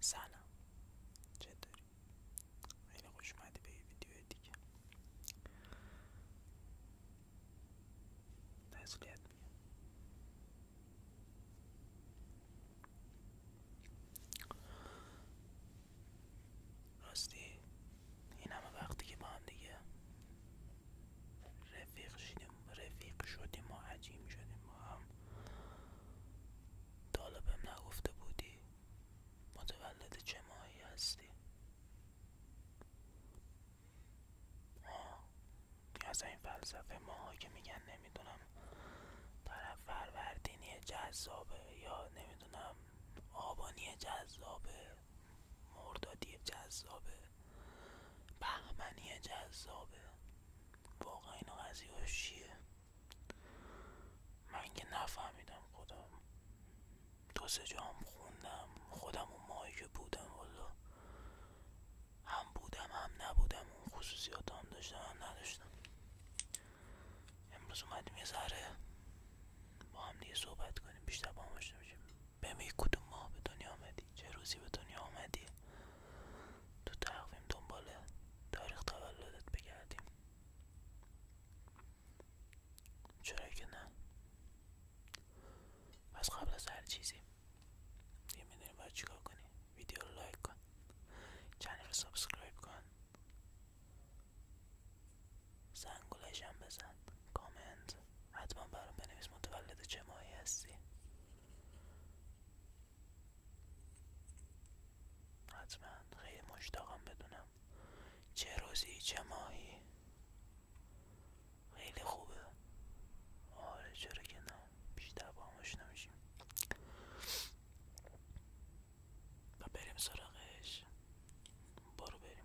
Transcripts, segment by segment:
سلام چطوری؟ خیلی خوش اومدی به ویدیو دیگه تسلیت راستی این همه وقتی که با دیگه رفیق شدیم رفیق شدیم و عجیم شدیم ما هم طالبم نگفته بودی متولد چه ماهی هستی آه از این فلسفه ماها که میگن نمیدونم طرف فروردینی جذابه یا نمیدونم آبانی جذابه مردادی جذابه یه جذابه واقعا این قضیه چیه من که نفهمیدم خودم دو سه جام خوندم خودم اون ماهی که بودم والا هم بودم هم نبودم اون خصوصیات هم داشتم هم نداشتم امروز اومدیم یه ذره با هم دیگه صحبت کنیم بیشتر با هم آشنا بشیم بهم کدوم به دنیا آمدی چه روزی به دنیا آمدی تو تقویم دنبال تاریخ تولدت بگردیم چرا که نه پس قبل از هر چیزی دیگه میدونی چیکار کنی ویدیو رو لایک کن چنل رو سابسکرایب کن زنگولش هم بزن کامنت حتما برام بنویس متولد چه ماهی هستی حتما خیلی مشتاقم بدونم چه روزی چه ماهی خیلی خوبه آره چرا که نه بیشتر با همش نمیشیم و بریم سراغش برو بریم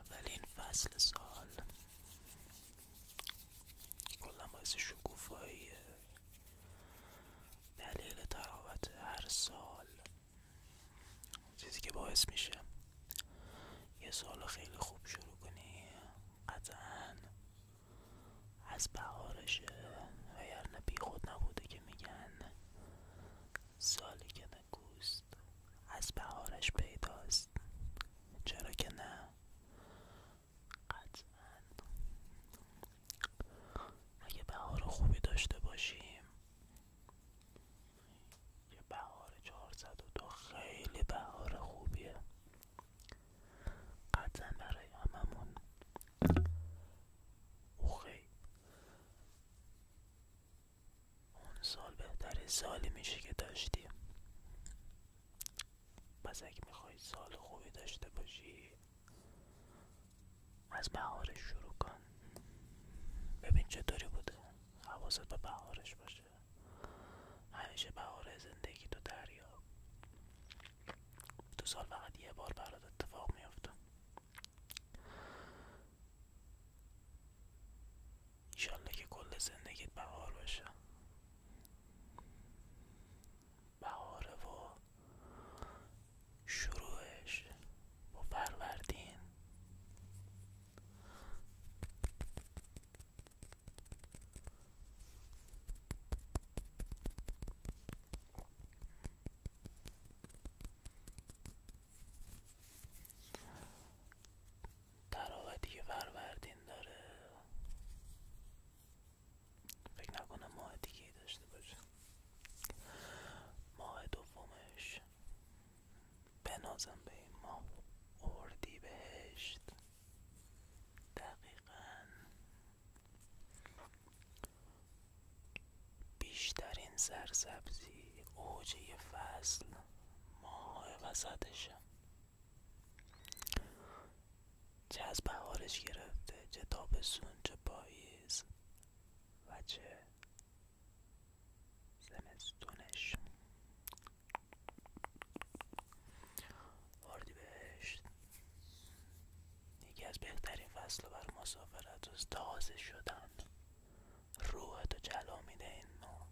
اولین فصل سال کلا باعث دلیل تراوت هر سال چیزی که باعث میشه یه سال خیلی خوب شروع کنی قطعا از بهارشه وگرنه بی خود نبوده که میگن سالی که گوست از بهارش پیداست چرا که نه قطعا اگه بهار خوبی داشته باشیم یه بهار دو خیلی بهار خوبیه قطا برای هممون اوخی اون سال بهتره سالی میشه که داشتی پس اگه میخوای سال خوبی داشته باشی از بهارش شروع کن ببین چطوری بوده حواست به بهارش باشه همیشه بهار زندگی تو دریاب تو سال فقط یه بار برات اتفاق میافته ایشالله که کل زندگیت بهار باشه بهاره و شروعش با فروردین تراوتی که فروردین داره فکر نکنم ماه دیگه داشته باشه ماه دومش بنازم به این ماه اردی بهشت دقیقا بیشترین سرسبزی اوجه فصل ماه وسطشه چه از بهارش گرفته چه تابستون چه پاییز و چه زمستونش بهشت یکی از بهترین فصل بر مسافرت از تازه شدن روحت تو جلا میده این ما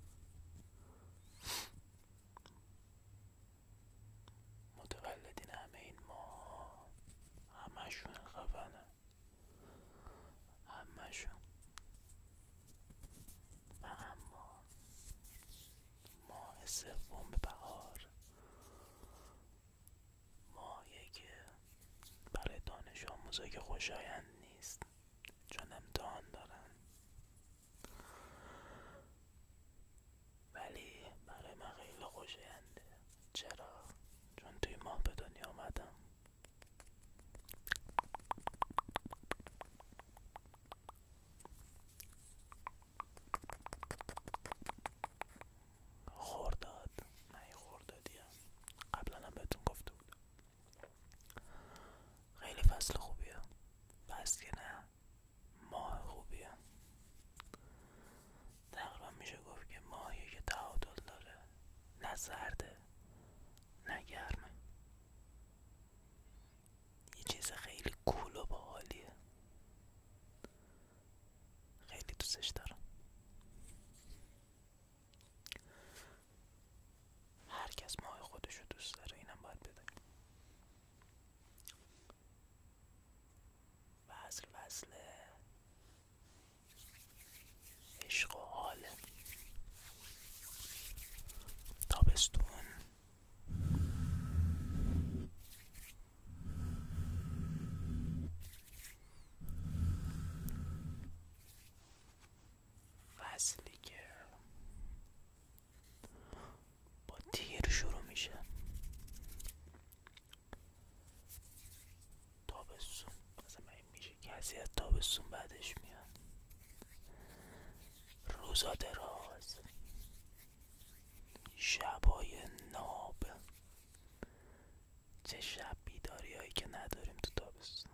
متولدین همه این ما همشون خفنه همشون و اما ماه به بهار مایه یکی برای دانش آموزا که خوشایند نیست چون امتحان دارن ولی برای من خیلی خوشاینده چرا؟ چون توی ماه به دنیا آمدم خورداد من خوردادیم قبلا هم بهتون گفته بود خیلی فصل خوبیه فصل که نه ماه خوبیه تقریبا میشه گفت که ماهی که تعادل داره نه سرده یه چیز خیلی کول و باحالیه خیلی دوستش دارم هر کس خودش خودشو دوست داره اینم باید بدونیم وصل وصل عشق و حاله تابستون فصلی که با تیر شروع میشه تابسون مثلا این میشه کسی از تابستون بعدش میاد روزا دراز شبای ناب چه شب بیداری هایی که نداریم تو تابستون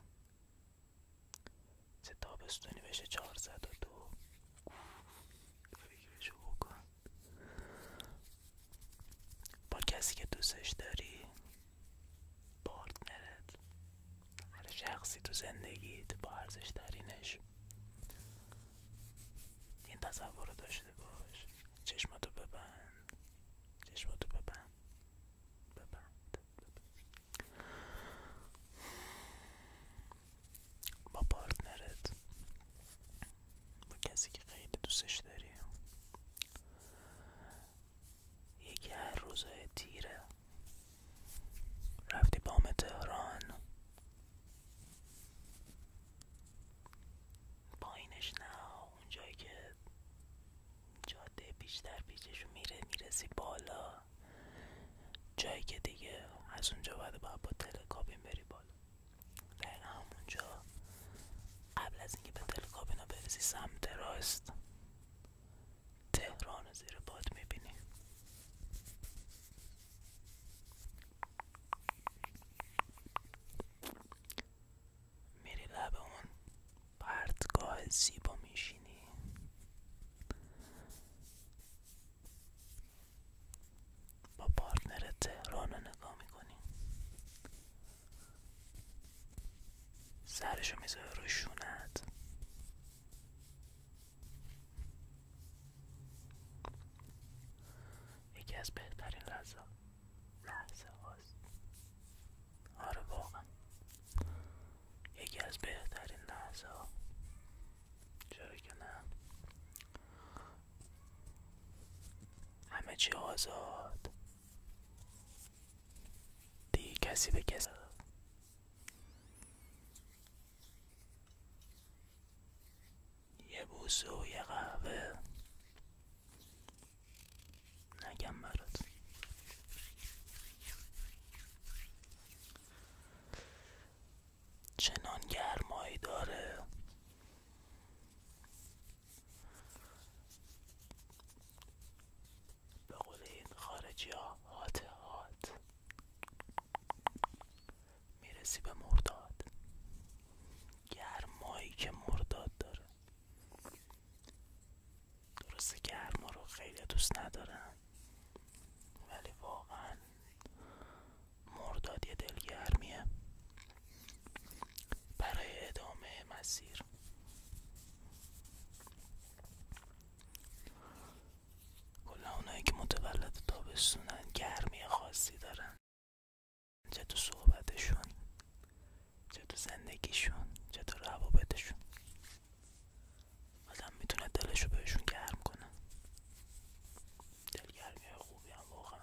چه تابستونی بشه چهارصد و دو بکن با کسی که دوستش داری پارتنرت هر شخصی تو زندگیت با ارزش ترینش این تصور داشته باش چشماتو ببند چشماتو ببند ببند با پارتنرت با کسی که خیلی دوستش داری یکی هر روزای تیره رفتی بام تهران پایینش نه اونجایی که جاده بیشتر پیشش میره میرسی بالا جایی که دیگه از اونجا باید باید با تلکابین بری بالا دقیقا همونجا قبل از اینکه به تلکابین ها برسی سمت راست تهران زیر باد میبینی میری لب اون پرتگاه زیبا میشینی با پارتنر تهران رو نگاه میکنی سرشو میذاره رو یکی از بهترین لحظه لحظه هاست آره واقعا یکی از بهترین لحظه ها چرا که نه همه چی آزاد دیگه کسی به کسی یه بوزه و یه قهوه نگم برات چنان گرمایی داره به قول این خارجی هات هات میرسی به مرداد گرمایی که مرداد داره درسته گرما رو خیلی دوست ندارن ولی واقعا مرداد یه دلگرمیه برای ادامه مسیر کلا اونای که متولد تابستونن گرمی خاصی دارن چه تو صحبتشون چه تو زندگیشون چه تو روابطشون آدم میتونه دلشو بهشون گرم کنه دلگرمی خوبی هم واقعا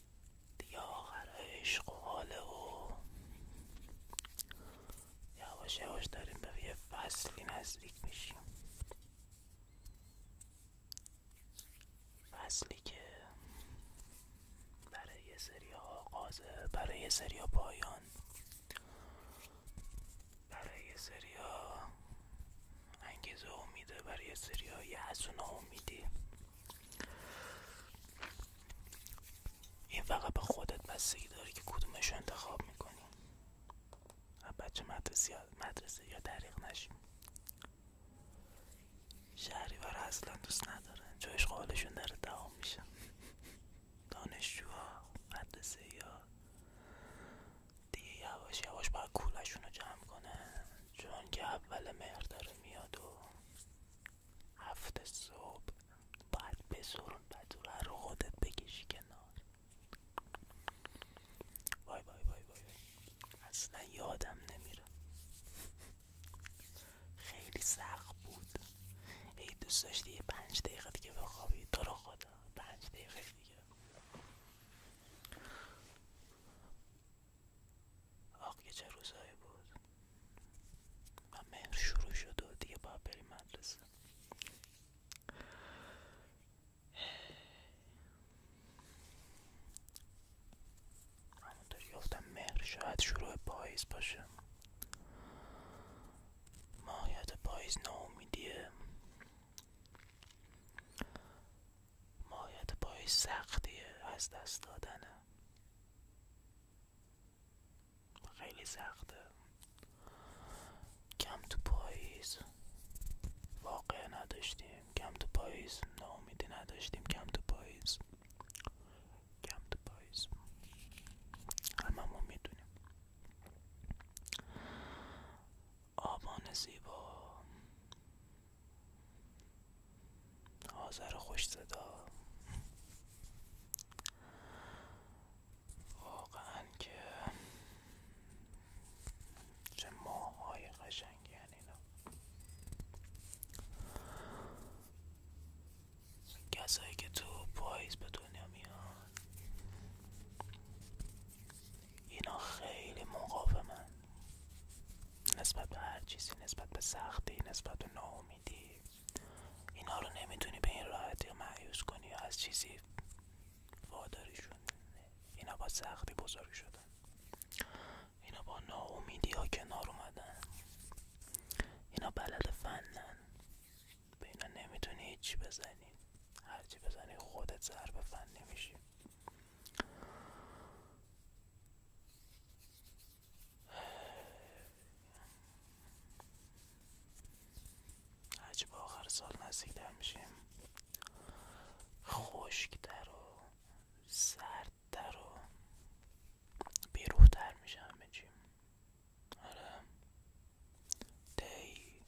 دیگه آخر عشق و حاله و یواش یواش داریم به یه فصلی نزدیک میشیم فصلی که برای یه سری آغازه برای یه سری پایان برای یه انگیزه امیده برای سری های حسون امیدی این فقط به خودت بستگی داره که کدومش انتخاب میکنی بچه مدرسه یا, مدرسه یا دریق نشیم اصلا دوست ندارن چون اشغالشون داره دوام میشه دانشجوها مدرسه یا دیگه یواش یواش باید کولشون جمع کنه چون که اول مهر میاد و هفت صبح باید بسرون بدور رو خودت بکشی کنار وای وای وای وای اصلا یادم نمیره خیلی سخت بود ای دوست داشتی یه پنج دقیقه دیگه بخوابی تو رو خدا پنج دقیقه دیگه آخ چه روزایی بود و مهر شروع شد و دیگه با بریم مدرسه همونطور یافتم مهر شاید شروع پاییز باشه ماهیت پاییز ناامیدیه مایت پای سختیه از دست دادن، خیلی سخته کم تو پاییز واقع نداشتیم کم تو پاییز ناامیدی نداشتیم کم تو پاییز کم تو اما می میدونیم آبان زیبا آذر خوش صدا واقعا که چه ماهای قشنگی هن اینا کسایی که تو پایز به دنیا میان اینا خیلی مقاومن نسبت به هر چیزی نسبت به سختی نسبت به ناامیدی اینا رو نمیتونی به این راحتی معیوس کنی از چیزی وادارشون اینا با سختی بزرگ شدن اینا با ناامیدی ها کنار اومدن اینا بلد فنن به اینا نمیتونی هیچی بزنی هرچی بزنی خودت زرب فن نمیشی هرچی آخر سال نزدیکتر میشیم خشکتر و سردتر و بیروحتر میشه آره دی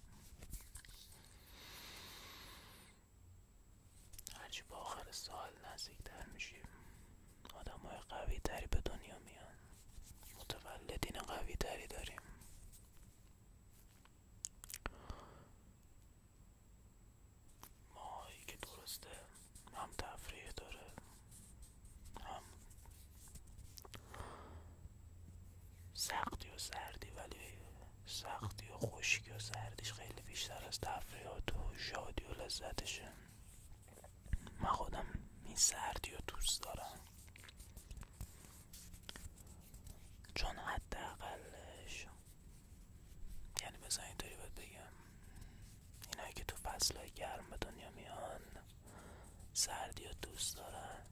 هرچی با آخر سال نزدیکتر میشیم آدم های قوی دری به دنیا میان متولدین قوی دری داریم ماهایی که درسته هم تفریح داره هم سختی و سردی ولی سختی و خشکی و سردیش خیلی بیشتر از تفریات و شادی و لذتشه من خودم این سردی و دوست دارم چون حداقلش یعنی مثلا اینطوری باید بگم اینایی که تو های گرم به دنیا میان سردی و دوست دارن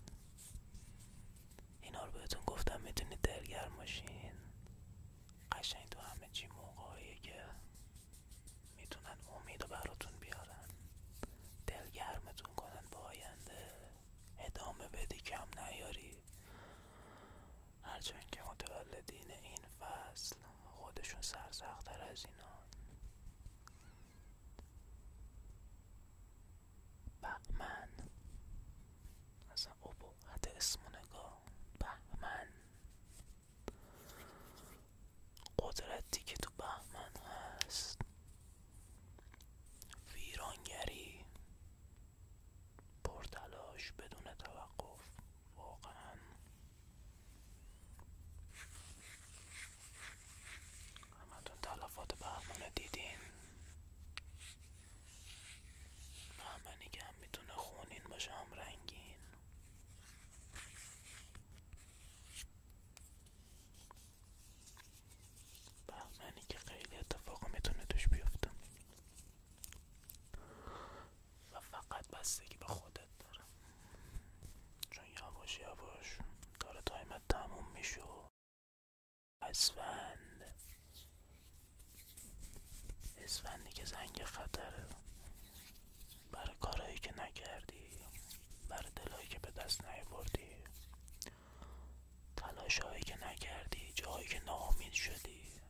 اینا رو بهتون گفتم میتونید ماشین، باشین قشنگ تو همه چی موقعی که میتونن امید براتون بیارن دلگرمتون کنن با آینده ادامه بدی کم نیاری هرچند که متولدین این فصل خودشون سرسختتر از اینا بهمن اصلا اسمو نگاه بهمن قدرتی که تو بهمن هست ویرانگری پرتلاش بدون توقف واقعا همتون تلفات برنامه دیدین مهمنی که هم میتونه خونین باشه هم رنگین بهمنی که خیلی اتفاق میتونه توش بیفته و فقط بستگی به خودت داره چون یواش یواش داره تایمت تموم میشه اسفند اسفندی که زنگ خطره برای کارهایی که نکردی برای دلایی که به دست نیاوردی تلاشهایی که نکردی جایی که ناامید شدی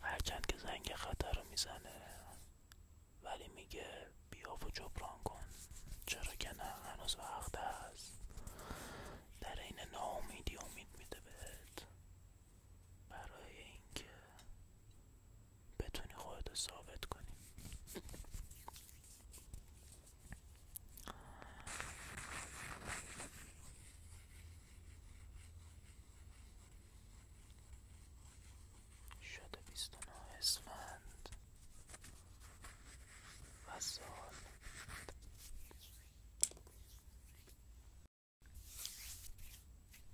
هرچند که زنگ خطر رو میزنه ولی میگه بیا و جبران کن چرا که نه هنوز وقت است در این ناامیدی امید میده بهت برای اینکه بتونی خودت ثابت کنی شده 29 اسفند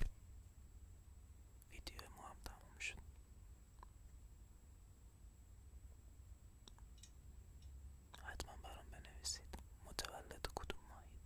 و ویدیو ما هم تموم شد حتما برام بنویسید متولد کدوم ماهید